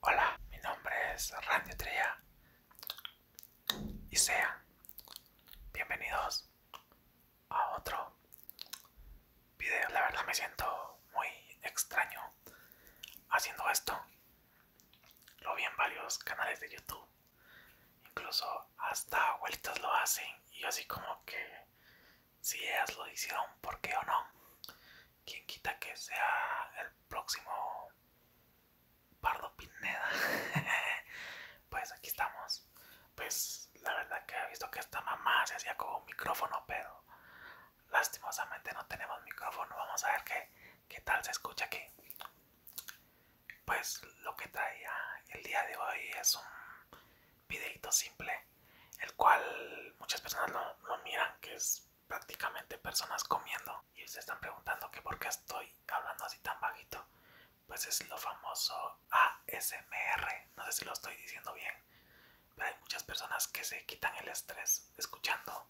Hola, mi nombre es Randy Trella y sean bienvenidos a otro video. La verdad me siento muy extraño haciendo esto. Lo vi en varios canales de YouTube, incluso hasta abuelitas lo hacen y yo así como que si ellas lo hicieron, ¿por qué o no? Quién quita que sea el próximo Pardo Pineda. pues aquí estamos. Pues la verdad que he visto que esta mamá se hacía con un micrófono, pero lastimosamente no tenemos micrófono. Vamos a ver qué, qué tal se escucha aquí. Pues lo que traía el día de hoy es un videito simple, el cual muchas personas no lo miran que es prácticamente personas comiendo y se están preguntando que por qué estoy hablando así tan bajito. Pues es lo famoso ASMR, no sé si lo estoy diciendo bien, pero hay muchas personas que se quitan el estrés escuchando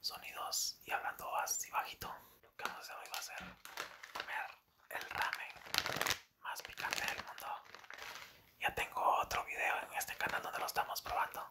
sonidos y hablando así bajito. Lo que vamos a hacer va a ser comer el ramen más picante del mundo. Ya tengo otro video en este canal donde lo estamos probando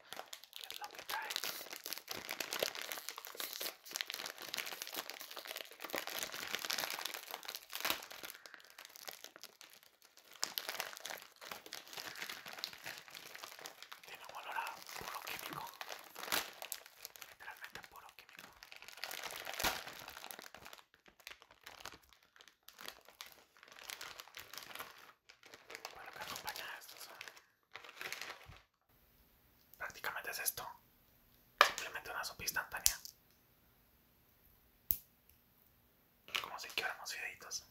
que es lo que trae. Tiene un olor a puro químico, literalmente puro químico. Prácticamente es esto. Simplemente una sopa instantánea. Como si quedáramos fideitos.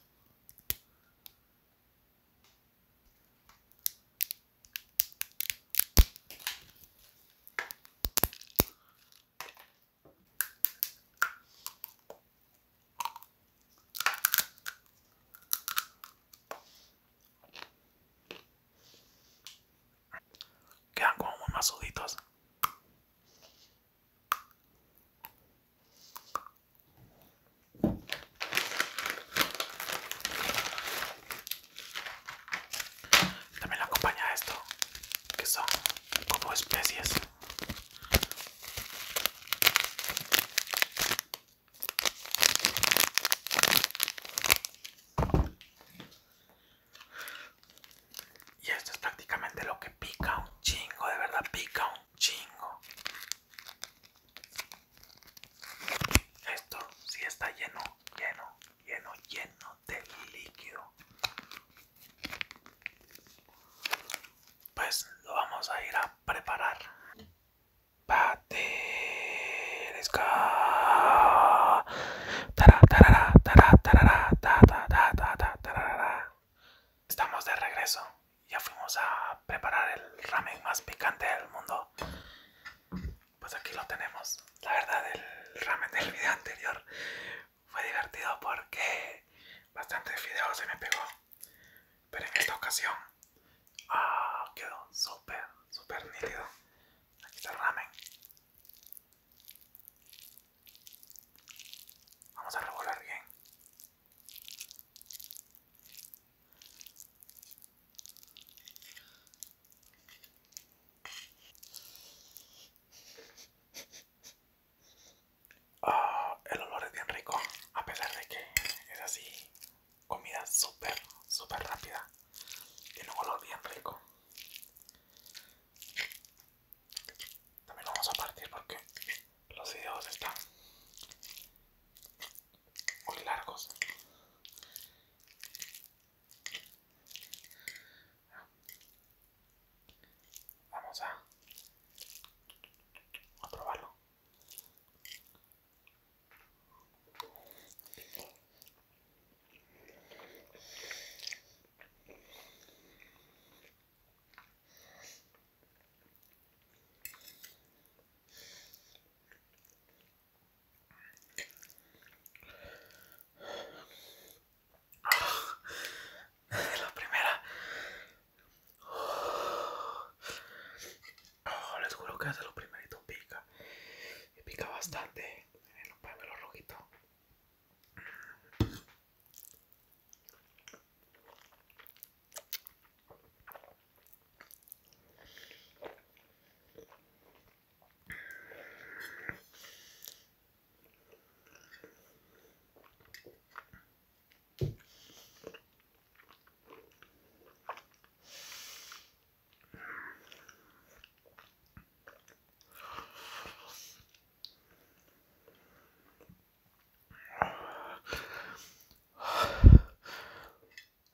Quedan como muy masuditos. También la acompaña esto, que son como especies. Y esto es prácticamente lo que pica un chingo, de verdad pica un chingo. Esto sí está lleno, lleno, lleno, lleno de líquido. Pues lo vamos a ir a preparar. Estamos de regreso. Ya fuimos a preparar el ramen más picante del mundo. Pues aquí lo tenemos. La verdad, el ramen del video anterior fue divertido porque bastante videos se me pegó. Pero en esta ocasión ah, quedó súper, súper nítido. Aquí está el ramen. Vamos a revolver bien. Ah, el olor es bien rico, a pesar de que es así comida súper, súper rápida. Tiene un olor bien rico. También vamos a partir porque los videos están muy largos. Vamos a probarlo. La primera. Oh, les juro que hace los primeritos pica. Y pica bastante. en los los rojitos.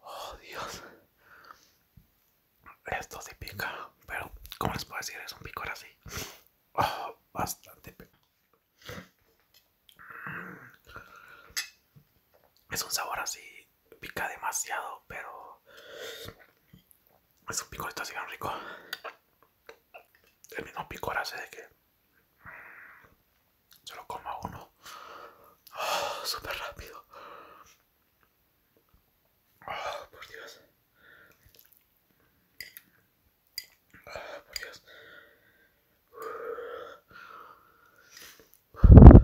Oh Dios, esto sí pica, pero como les puedo decir? Es un picor así, oh, bastante pica. Es un sabor así, pica demasiado, pero es un picorito así bien rico. El mismo picor hace de que solo lo coma uno ah, súper rápido. Ah, por Dios. Ah, por Dios. La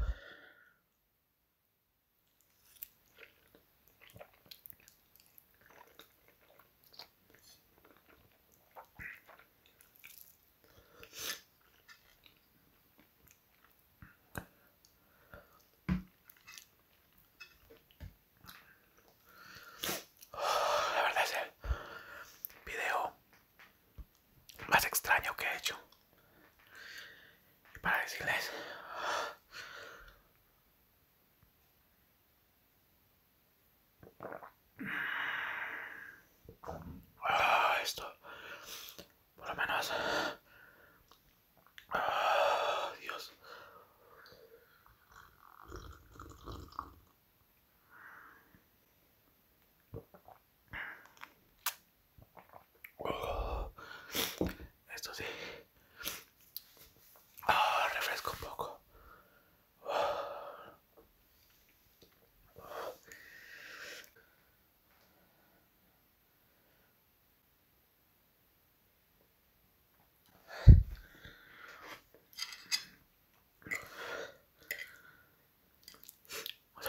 verdad es el video más extraño que he hecho. Y para decirles... Ah, esto, por lo menos... Ah, Dios. esto sí. Ah, refresco un poco. Uh, uh. Los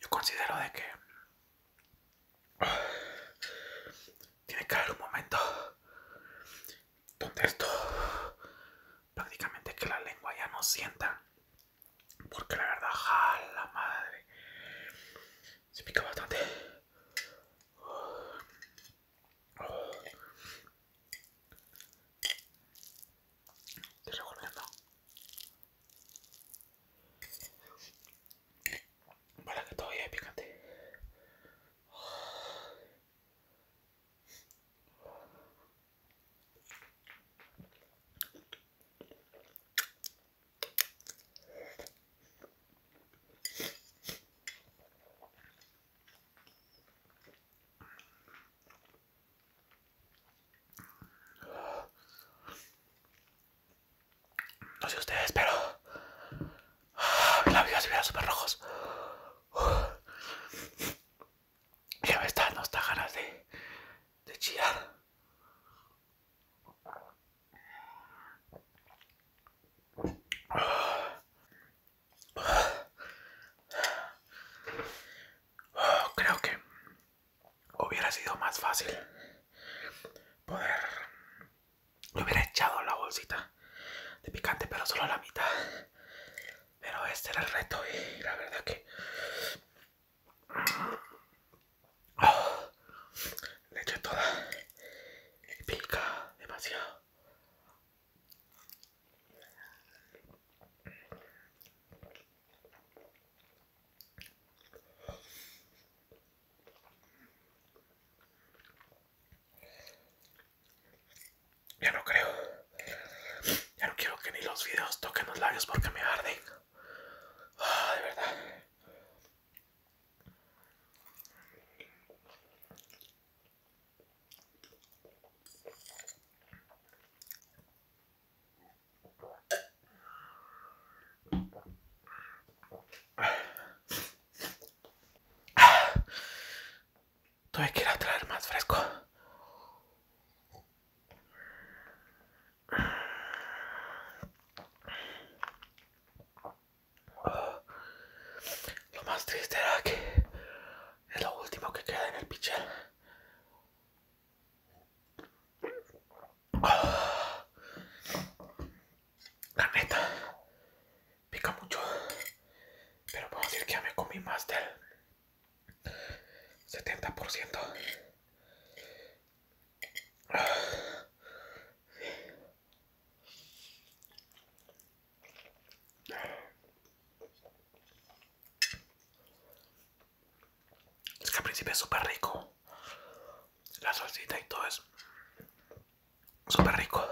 yo considero de que tiene que haber un momento donde esto prácticamente que la lengua ya no sienta porque la verdad jala madre se pica bastante estoy revolviendo Vale, que todavía es picante no sé ustedes, pero labios vea súper rojos. Ya me están no está ganas de, de chillar. Creo que hubiera sido más fácil poder lo hubiera echado la bolsita de picante, pero solo la mitad. Pero este era el reto y la verdad que oh, le eché toda y pica demasiado. Ya no creo. Ya no quiero que ni los videos toquen los labios porque me arden. Ah, de verdad ir a traer más fresco. Oh. Lo más triste era que es lo último que queda en el pichel. Oh. La pica mucho pero puedo decir que ya me comí más del 70% es que al principio es súper rico la salsita y todo eso super rico.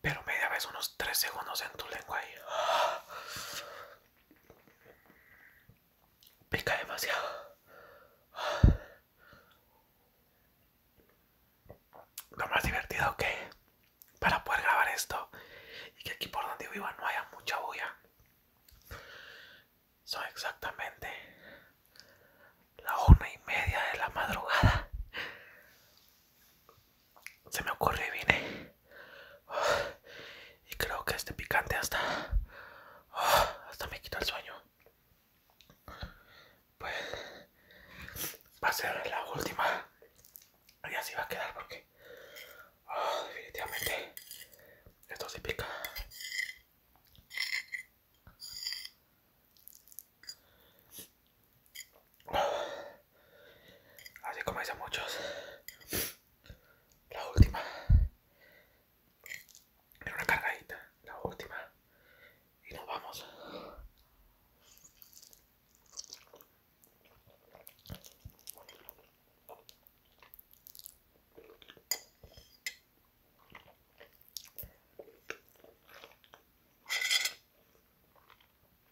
Pero media vez unos 3 segundos en tu lengua ahí. Pica demasiado. Lo más divertido que para poder grabar esto y que aquí por donde viva no haya mucha bulla. Son exactamente la una y media de la madrugada se me ocurre y vine y creo que este picante hasta hasta me quita el sueño pues va a ser la última y así va a quedar porque oh, definitivamente esto sí pica Así como dicen muchos, la última era una cargadita, la última, y nos vamos.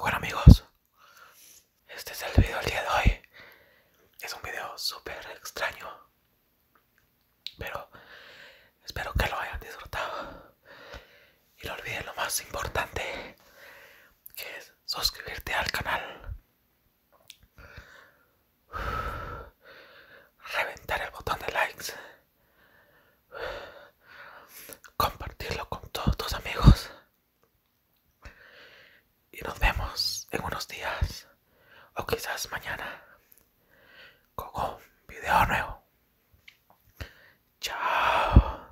bueno amigos, este es el video del día de hoy. Es un video súper extraño, pero espero que lo hayan disfrutado. Y no olviden lo más importante, que es suscribirte al canal Reventar el botón de likes. Compartirlo con todos tus amigos. Y nos vemos en unos días o quizás mañana con un video nuevo. Chao.